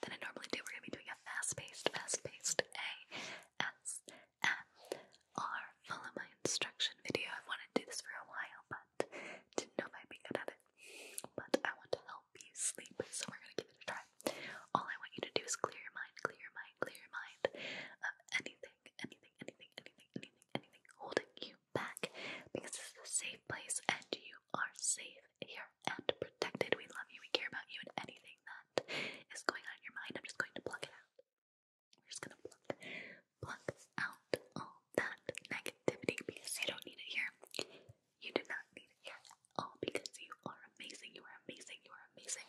than I normally do. We're gonna be doing a fast-paced, fast-paced ASMR. Follow my instruction video. I wanted to do this for a while, but didn't know if I'd be good at it. But I want to help you sleep, so we're gonna give it a try. All I want you to do is clear your mind, clear your mind, clear your mind of anything, anything, anything, anything, anything, anything holding you back, because this is a safe place and you are safe here and protected. We love you, we care about you, and anything that is going on in your mind, I'm just going to pluck it out. We're just gonna pluck, pluck out all that negativity because you don't need it here. You do not need it here all because you are amazing. You are amazing. You are amazing.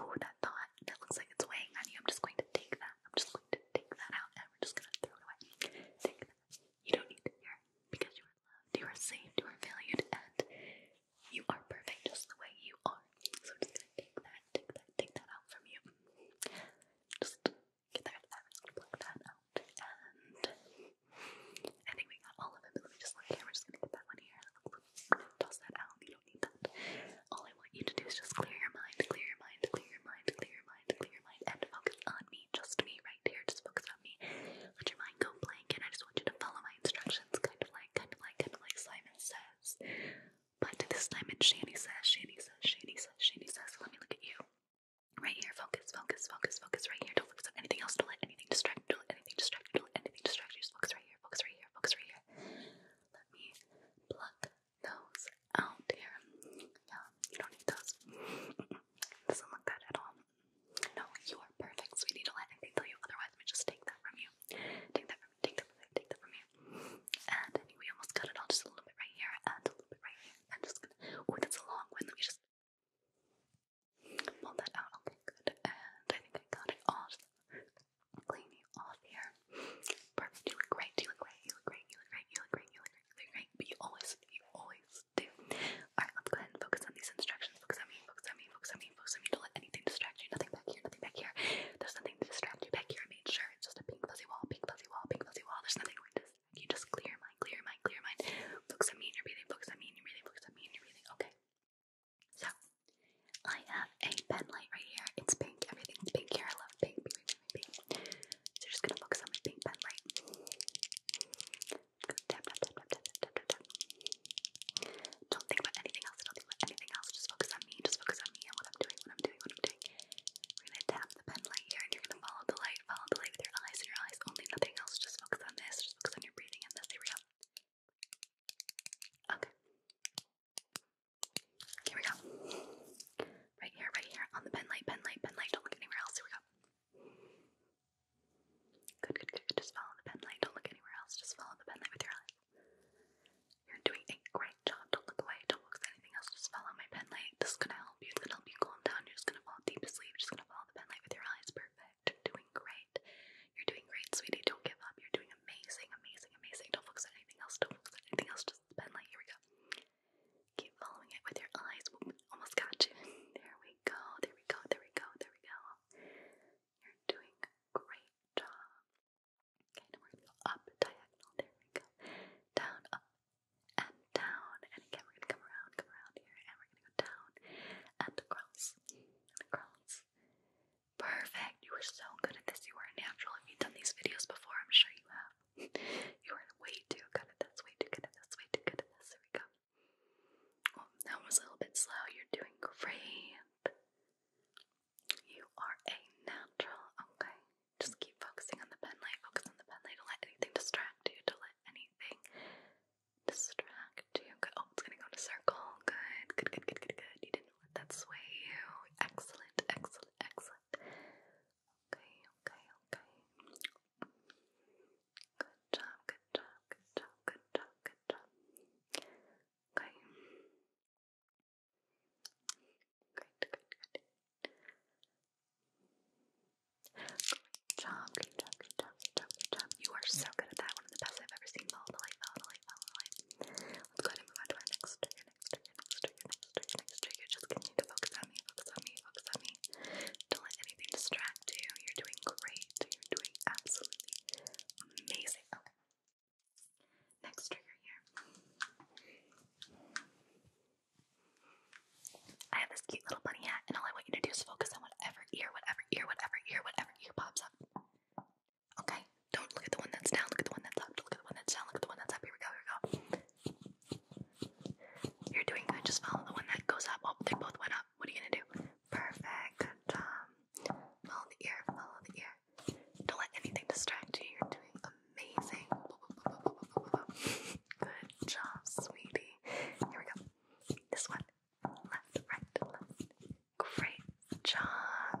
Ooh, that thought that looks like it's weighing on you. I'm just going to take that. I'm just going to take that out and we're just gonna throw it away. Take that. You don't need to fear because you are loved, you are saved, you are valued, and you are perfect just the way you are. So I'm just gonna take that, take that, take that out from you. Just get that, pluck that out, and I think we got all of it. Let me just look here. We're just gonna get that one here. Toss that out. You don't need that. All I want you to do is just clear your mind, clear your mind, clear your mind, clear your mind, clear your mind, and focus on me just me right here. Just focus on me. Let your mind go blank, and I just want you to follow my instructions, kind of like, kind of like, kind of like Simon says. But this time it's Shani says, Shani says, Shani says, Shani says. let me look at you. Right here, focus, focus, focus, focus. Right here. Don't focus on anything else. Don't let anything distract Don't let anything distract Don't let anything distract Just focus right here. Focus right here. Focus right here. Let me pluck those out here. Yeah, you don't need those. doesn't look that at all. No, you are perfect, sweetie. Don't let anything tell you otherwise. Let me just take that from you. Take that from you. Take that from you. Take that from you. And we almost cut it all just a little bit right here and a little bit right here. I'm just gonna. Oh, that's a long one. Let me just pull that out. Okay, good. And I think I got it all. Just clean you off here. Perfect. You look great. You look great. You look great. You look great. You look great. You look great. You look great. But you always, you always Alright, let's go ahead and focus on these instructions. Focus on me, focus on me, focus on me, focus on me. Don't let anything distract you. Nothing back here, nothing back here. There's nothing to distract you back here. I made sure it's just a pink fuzzy wall, pink fuzzy wall, pink fuzzy wall. There's nothing to distract You just clear your mind, clear your mind, clear your mind. Focus on me and your breathing, focus on me and your breathing, focus on me and your breathing. Okay. So, I have a pen light right here. It's pink. Everything's pink here. I love pink, pink, pink, pink, So, you're just gonna focus on my pink pen light. Tap, tap, tap, tap, tap, tap, tap, tap. Don't think about anything else. Don't think about anything else. Just focus on me. Just focus on me and what I'm doing, what I'm doing, what I'm doing. We're gonna tap the pen light here and you're gonna follow the light, follow the light with your eyes and your eyes only, nothing else. Just focus on this, just focus on your breathing and this. Here we go. Okay. Here we go. Right here, right here. On the pen light, pen light, pen light. Don't look anywhere else. Here we go. Good, good, good. Just follow the pen Don't look anywhere else. Just follow the pen with your eyes. You're doing a great job. Don't look away. Don't look at anything else. Just follow my pen light. This is gonna help you. It's gonna help you calm down. You're just gonna fall deep asleep. Just gonna follow the pen light with your eyes. Perfect. You're doing great. You're doing great, sweetie. Don't give up. You're doing amazing, amazing, amazing. Don't look at anything else. Don't look at anything else. Just the pen light. Here we go. Keep following it with your eyes. Whoop, almost got you. There we go. There we go. There we go. There we go. You're doing a great job. Okay, now we're gonna go up diagonal. There we go. Down, up, and down. And again, we're gonna come around, come around here, and we're gonna go down and across and across. Perfect. You were so good at this. You were a natural. If you've done these videos before, I'm sure you have you are way too good at this, way too good at this, way too good at this. Here we go. that was a little bit slow. You're doing great. You are a natural, okay? Just keep focusing on the pen light, focus on the pen light. Don't let anything distract you, don't let anything distract you. Oh, it's gonna go in a circle. Good, good, good, good, good, good. You didn't let that sway you. Excellent, excellent, excellent. Okay, okay, okay. Good job, good job, good job, good job, good job. Okay. Great, great, great. Great job, great job, great job, great job, You are so good at that. One of the best I've ever seen. Follow the light, follow the light, follow the light. Let's go ahead and move on to our next trigger, next trigger, next trigger, next trigger, next Just continue to focus on me, focus on me, she looks me. Don't let anything distract you. You're doing great. You're doing absolutely amazing. Next trigger here. I have this cute little bunny hat, and all I want you to do is focus on whatever ear, whatever ear, whatever ear, whatever ear pops up. Okay? Don't look at the one that's down, look at the one that's up, look at the one that's down, look at the one that's up. Here we go, here we go. You're doing good. Just follow the one that goes up. Oh, they both went up. What are you gonna do? Perfect. Um, follow the ear. Follow the ear. Don't let anything distract you. You're doing amazing. Good job, sweetie. Here we go. This one. Left, right, left. Great job.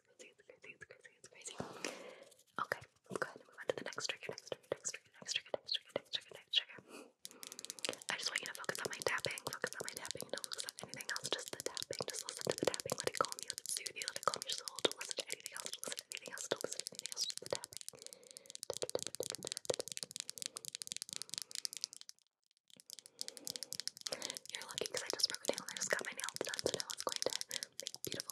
it's crazy, it's crazy, it's crazy, it's crazy. Okay, let's go ahead and move on to the next trigger, next trigger, next trigger, next trigger, next trigger, next trigger, next trigger. I just want you to focus on my tapping, focus on my tapping, don't focus on anything else, just the tapping, just listen to the tapping, let it calm you, let it soothe you, let it calm your soul, don't listen to anything else, don't listen to anything else, don't listen to anything else, just the tapping. You're lucky because I just broke a nail and I just got my nails done, so now it's going to make beautiful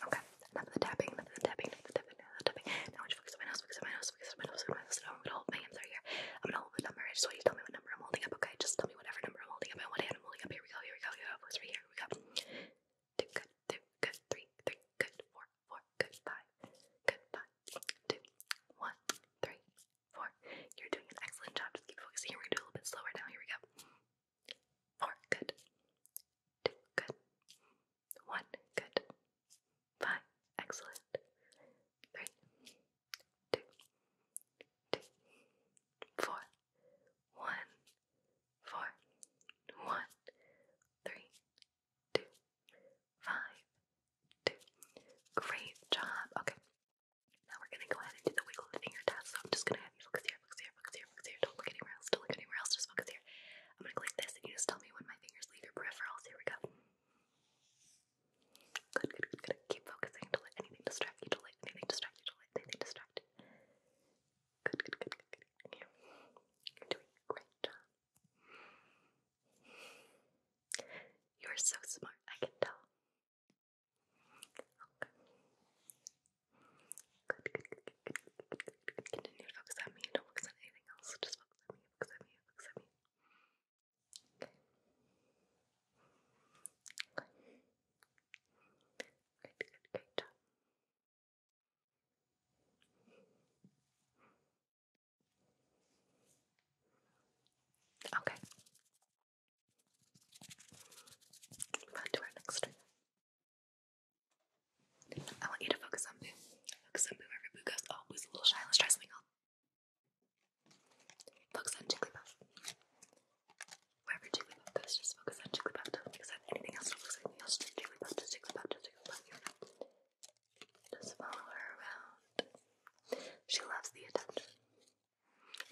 Okay, enough of the tapping, enough of the tapping, enough of the tapping, enough of the tapping. Now I want you to focus on my nose, focus on my nose, focus on my nose, focus on my nose. I'm gonna hold my hands right here. I'm gonna know the number. I just want you to tell me what number I'm holding up, okay? Just tell me whatever number I'm holding up and what hand I'm holding up. Here we go, here we go, here we go. It's right here. Here we go. Two, good, two, good, three, three, good, four, four, good, five, good, five, two, one, three, four. You're doing an excellent job. Just keep focusing. Here we're gonna do a little bit slower now. Here we go. Four, good, two, good, one, good, five, excellent, three, two, two, four, one, four, one, three, two, five, two. Great job. Okay. Now we're gonna go ahead and do the wiggle the finger test. So I'm just gonna have you focus here, focus here, focus here, focus here. Don't look anywhere else. Don't look anywhere else. Just focus here. I'm gonna click this, and you just tell me when my fingers leave your peripherals. Here we go. Good, good, good, Keep focusing. do anything distract you. anything distract you. anything distract Good, good, good, good, You're doing great You're so smart. I can tell. Okay. good, good, good, good, good, good. Continue to focus on me. Don't focus on anything else. Just focus on me. Focus on me. Focus on me. Great, good, great job. Okay. on to our next I want you to focus on Boo. Focus on Boo. Every Boo goes, oh, Boo's a little shy. Let's try something else. Focus on Jigglypuff. Wherever Jigglypuff goes, just focus on Jigglypuff. Don't focus on anything else. Don't focus on anything else. Just Jigglypuff, just Jigglypuff, just Jigglypuff. You Just follow her around. She loves the attention.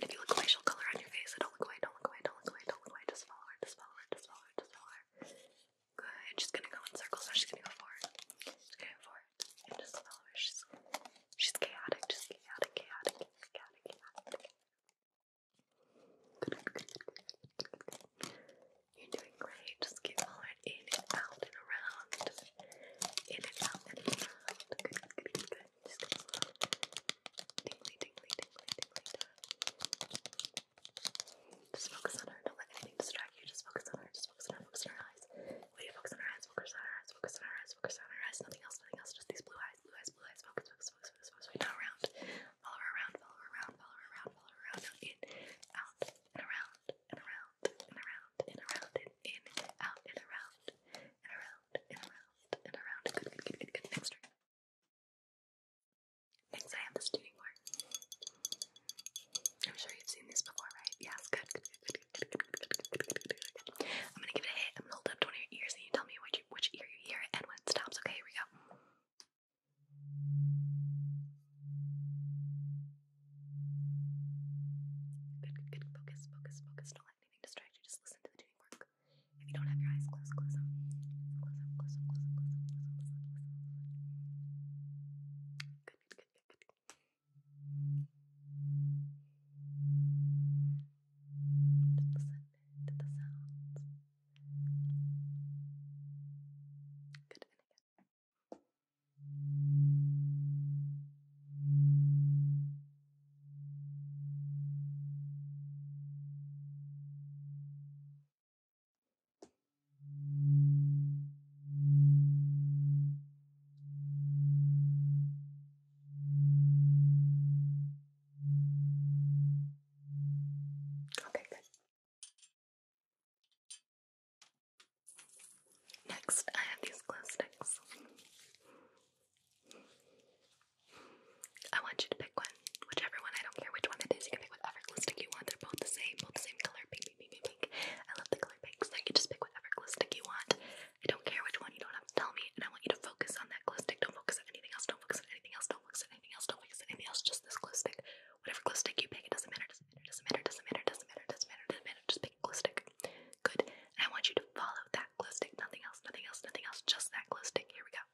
if you look away, she'll color on your face. don't look away, don't look away, don't look away, don't look away. Just follow her, just follow her, just follow her, just follow her. Good. She's gonna go in circles She's gonna go forward. She's gonna go forward just follow her. She's, she's chaotic, just chaotic, chaotic, chaotic, chaotic. Good, You're doing great. Just keep following in and out and around. in and out and around. Good, good, good, good, good. Just go Just focus on her. Don't let anything distract you. Just focus on her. Just focus on her. Focus on her eyes. Wait, focus on her eyes, focus on her eyes, focus on her eyes, focus on her eyes, nothing else, nothing else, just these blue eyes, blue eyes, blue eyes, focus, focus, focus, focus, focus, right now around, follow her around, follow her around, follow her around, follow her around, now in, out, and around, and around, and around, and around, and in, out, and around, and around, and around, and around, good, good, good, good, good, next turn. Next I have the student board. I'm sure you've seen this before, right? Yes, good, I'm gonna give it a hit. I'm gonna hold up to ears and you tell me which, which ear you hear and when it stops. Okay, here we go. Good, good, Focus, focus, focus. Don't let anything distract you. Just listen to the tuning fork. If you don't have your eyes closed, close them. Close them, close them, close them, close them, close them, close them. good, good, good. Just listen to the sounds. Good video. Okay, good. Next, I have these glow sticks. I want you to pick one, whichever one. I don't care which one it is. You can pick whatever glow stick you want. They're both the same, both the same color, pink pink, pink, pink, pink. I love the color pink, so you can just pick whatever glue stick you want. I don't care which one, you don't have to tell me, and I want you to focus on that glue stick. Don't focus on anything else, don't focus on anything else, don't focus on anything else, don't focus on anything else, just this glue stick. Whatever glue stick you pick, it doesn't matter, doesn't matter, doesn't matter, doesn't matter, doesn't matter, doesn't matter, doesn't matter, just pick a glue stick. Good. And I want you to follow that glue stick, nothing else, nothing else, nothing else, just that glue stick. Here we go.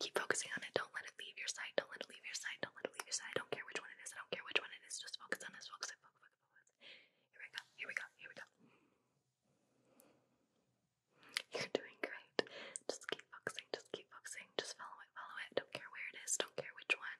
Keep focusing on it. Don't let it leave your sight. Don't let it leave your sight. Don't let it leave your sight. don't care which one it is. I don't care which one it is. Just focus on this. Focus Here we go. Here we go. Here we go. You're doing great. Just keep focusing. Just keep focusing. Just follow it. Follow it. Don't care where it is. Don't care which one.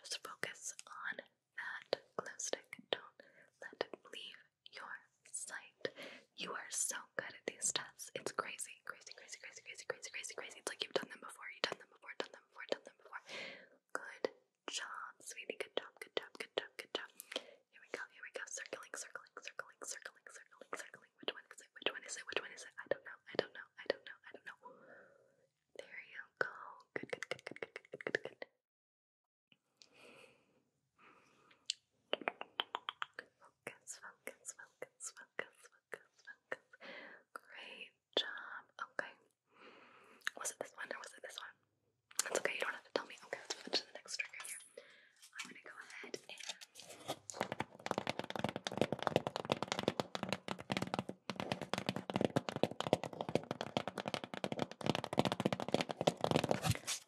Just focus on that glue Don't let it leave your sight. You are so good at these tests. It's crazy, crazy, crazy, crazy, crazy, crazy, crazy, crazy. It's like you've done them before, you've done them before, done them before, done them before. Good job, sweetie. Good job, good job, good job, good job. Here we go, here we go. Circling, circling, circling, circling, circling, circling. Which one is it? Which one is it? Which one is it? I don't know. I don't know. I don't know. I don't know. There you go. Good, good, good, good, good, good, good, good. Focus, focus, focus, focus, focus, focus. Great job. Okay. Was it this one or was it this one? That's okay, you don't have to tell me. Okay, let's move to the next trigger here. I'm gonna go ahead and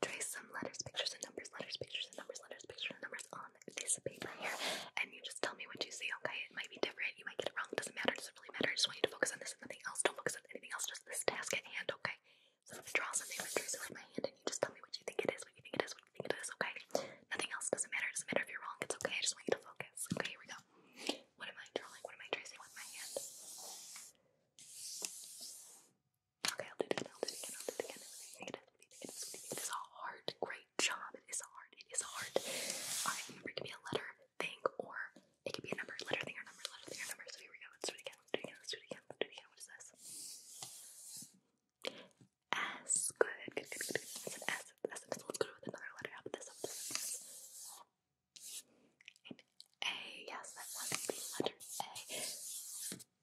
Trace some letters, pictures, and numbers, letters, pictures, numbers, letters, pictures numbers on this paper here, and you just tell me what you see, okay? It might be different, you might get it wrong, doesn't matter, doesn't really matter. I just want you to focus on this and nothing else. Don't focus on anything else, just this task at hand, okay? So I'm gonna draw something, I'm gonna with my hand, and you just tell me what you think it is, what you think it is, what you think it is, okay? Nothing else doesn't matter, doesn't matter if you're wrong, it's okay, I just want you to focus. Okay, here we go. What am I drawing? What am I tracing with my hand? Okay, I'll do it again, I'll do it again, I'll do it again. It is, it is a hard, great job. It is hard, it is hard. Alright, remember it can be a letter thing or it could be a number, letter thing or number, letter thing or number. So here we go. Let's do it again, let's do it again, let's do it again, let's do it again. What is this? S. Good, good, good, good, good. That's an S, that's an S. Let's go with another letter. How about this? How about this? An A. Yes, that was the letter A.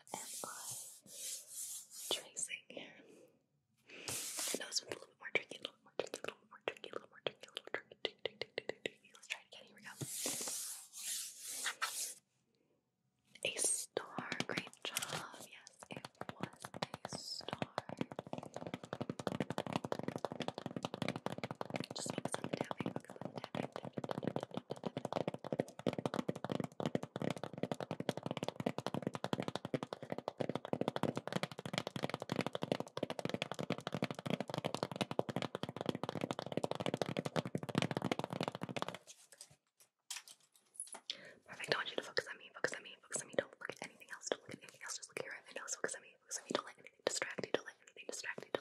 what am I tracing I know this a little bit more tricky, a little more tricky, a little more tricky, a little more tricky, a little tricky, Let's try again. Here we go. A star. Great job. Yes, it was a star. Just focus on the tapping. Perfect. I want you to focus on me. Focus on me. Focus on me. Don't look at anything else. Don't look at anything else. Just look at your nose. Focus on me. Focus on me. Don't let anything distract you. Don't let anything distract you.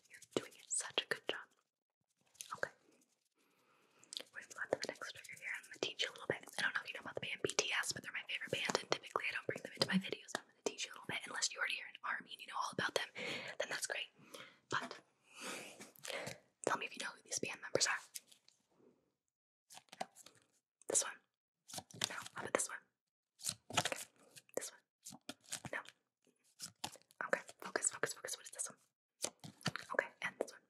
You're doing such a good job. Okay. We're going to go on to the next trigger here. I'm going to teach you a little bit. I don't know if you know about the band BTS, but they're my favorite band, and typically I don't bring them into my videos. I'm going to teach you a little bit, unless you already are an army and you know all about them, then that's great. But tell me if you know who these band members are. This one. No, about this one? Okay, this one? No. Okay, focus, focus, focus. What is this one? Okay, and this one.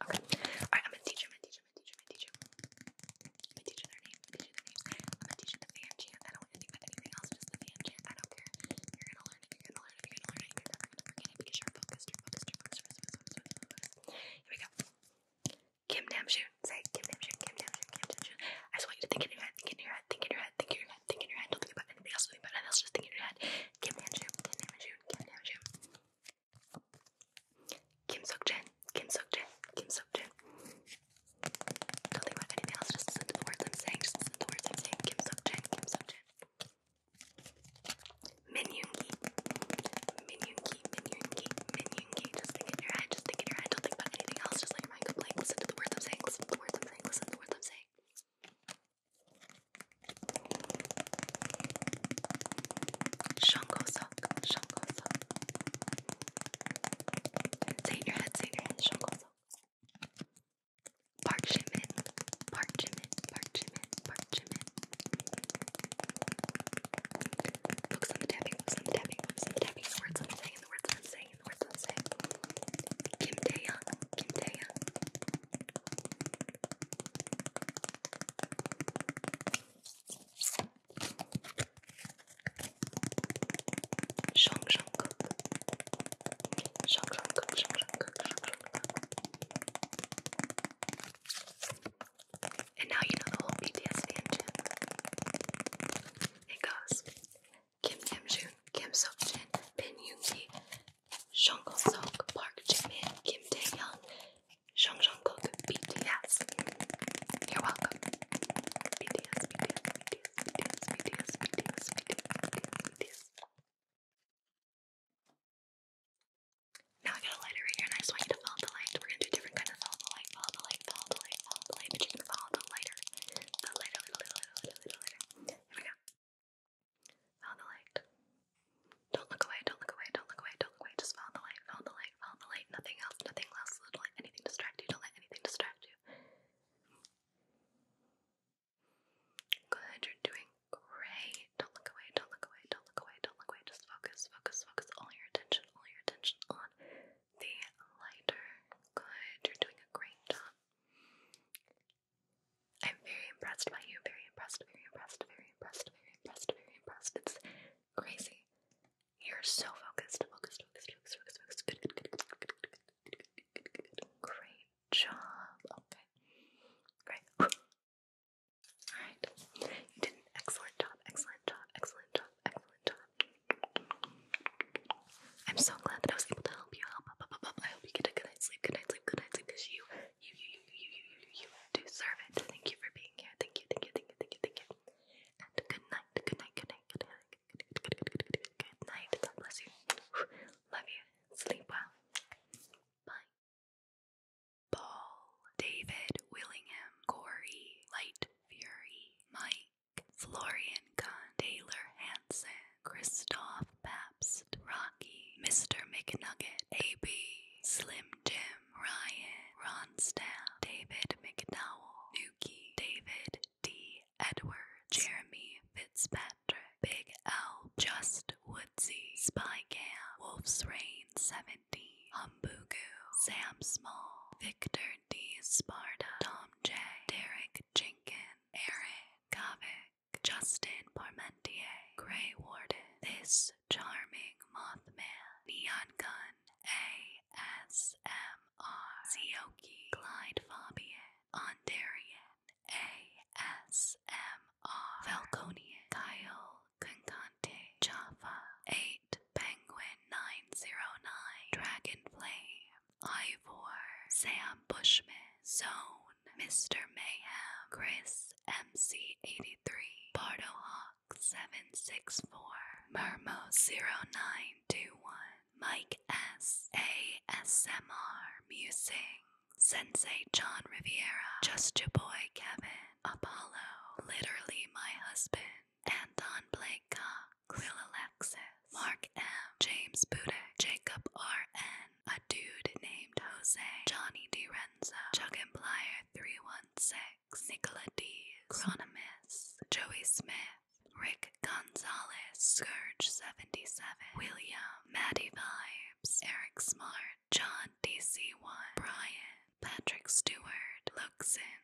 Okay. Alright, I'm gonna you, I'm gonna I'm gonna I'm gonna I'm gonna teach you their name, I'm gonna I'm gonna I don't want to think about anything else, just the fan I don't care. You're gonna learn you're gonna learn you're gonna learn you're gonna forget it because you're focused, you Here we go. Kim Namjoon. Say Kim Namjoon, Kim Namjoon, Kim Namjoon. I just want you to think in your head, think in your head, think in your head, think in your head, think in your head, don't think about anything else, think about anything else, just think in your head. Kim Namjoon, Kim Namjoon, Kim Namjoon. Kim Seokjin, Kim Seokjin, Kim Seokjin. Don't think about anything else, just listen to the words I'm saying, just listen to the words I'm saying. Kim Seokjin, Kim Seokjin. Min Yoongi, Min Yoongi, Min Yoongi, Min Yoongi. Just think in your head, just think in your head, don't think about anything else, just like Listen to the words I'm saying. Listen to the words I'm saying. Listen to the words I'm saying. Shango sok. Shango your head. Say your head. Shango sok. Park Jimin. Park Jimin. Park Jimin. Park Jimin. on the tapping. Focus on the tapping. Focus on the tapping. The words I'm saying. The words I'm saying hang in Kim tae Kim Tae-young. Shong Shong Cook. Shong Shong And now you know the whole BTS fan chant. It goes Kim Namjoon, Kim Seokjin, Bin Yoongi, Jung Kook, Park Jimin, Kim Taehyung, Jung Jungkook, BTS. You're welcome. BTS, BTS, BTS, BTS, BTS, BTS, BTS, BTS. Now I got a lighter right here, and I just want you to follow the light. We're gonna do different kind of follow the light, follow the light, follow the light, the light, but you can follow the lighter. The lighter, Here we go. Follow the light. Don't look away, don't look away, don't look away, don't look away. Just follow the light, follow the light, follow the light. Nothing else, nothing else. Don't let anything distract you, don't let anything distract you. Good, you're doing great. Don't look away, don't look away, don't look away, don't look away. Just focus, focus, focus all your attention, all your attention on the lighter. Good, you're doing a great job. I'm very impressed by you. Very impressed, very impressed, very impressed, very impressed, very impressed. It's crazy. You're so focused, focused, focused, focused, focused, focused. Good, good, good, good, good, good, good, Great job. Okay. Great. Alright. You did an excellent job, excellent job, excellent job, excellent job, I'm so glad that I was able to help you. Help, up, up, up. I hope you get a good night's sleep. Good night's sleep. Good night's sleep. Because you, you, you, you, you, you, you, you deserve it. Thank you for being here. Thank you. Thank you. Thank you. Thank you. Thank you. And good night. Good night. Good night. Good night. Good, good, good, good, good night. God bless you. Love you. Sleep well. Bye. Paul, David, Willingham, Corey, Light, Fury, Mike. Florian Con Taylor Hansen, Christoph Pabst, Rocky, Mr. McNugget, A.B., Slim Jim, Ryan, Ron Ronstaff, David McDowell, Nuki, David D. Edward Jeremy Fitzpatrick, Big L, Just Woodsy, Spycam, Wolf's Rain 70, Humbugu, Sam Small, Victor D. Sparta, Tom J. Derek Jenkins, Aaron Kavik, Justin Parmentier, Gray Ward. This Charming Mothman, Neon Gun, ASMR, Zioki, Clyde Fabian, Ondarian, ASMR, Falconian, Kyle Concante, Java, A. Penguin909, Dragonflame, Ivor, Sam Bushman, Zone, Mr. Mayhem, Chris MC83, Bardo Hawk 764, Mermo0921, Mike S A S M R, ASMR, Sensei John Riviera, Just Your Boy Kevin, Apollo, Literally My Husband, Anton Blake Cox, Clill Alexis, Mark M, James Budek, Jacob R. N., a dude named Jose, Johnny DiRenzo, Chuck and Plier 316, Nicola D, Chronomus, Joey Smith, Rick Gonzalez, Scourge 77, William, Maddie Vibes, Eric Smart, John DC1, Brian, Patrick Stewart, Luxin,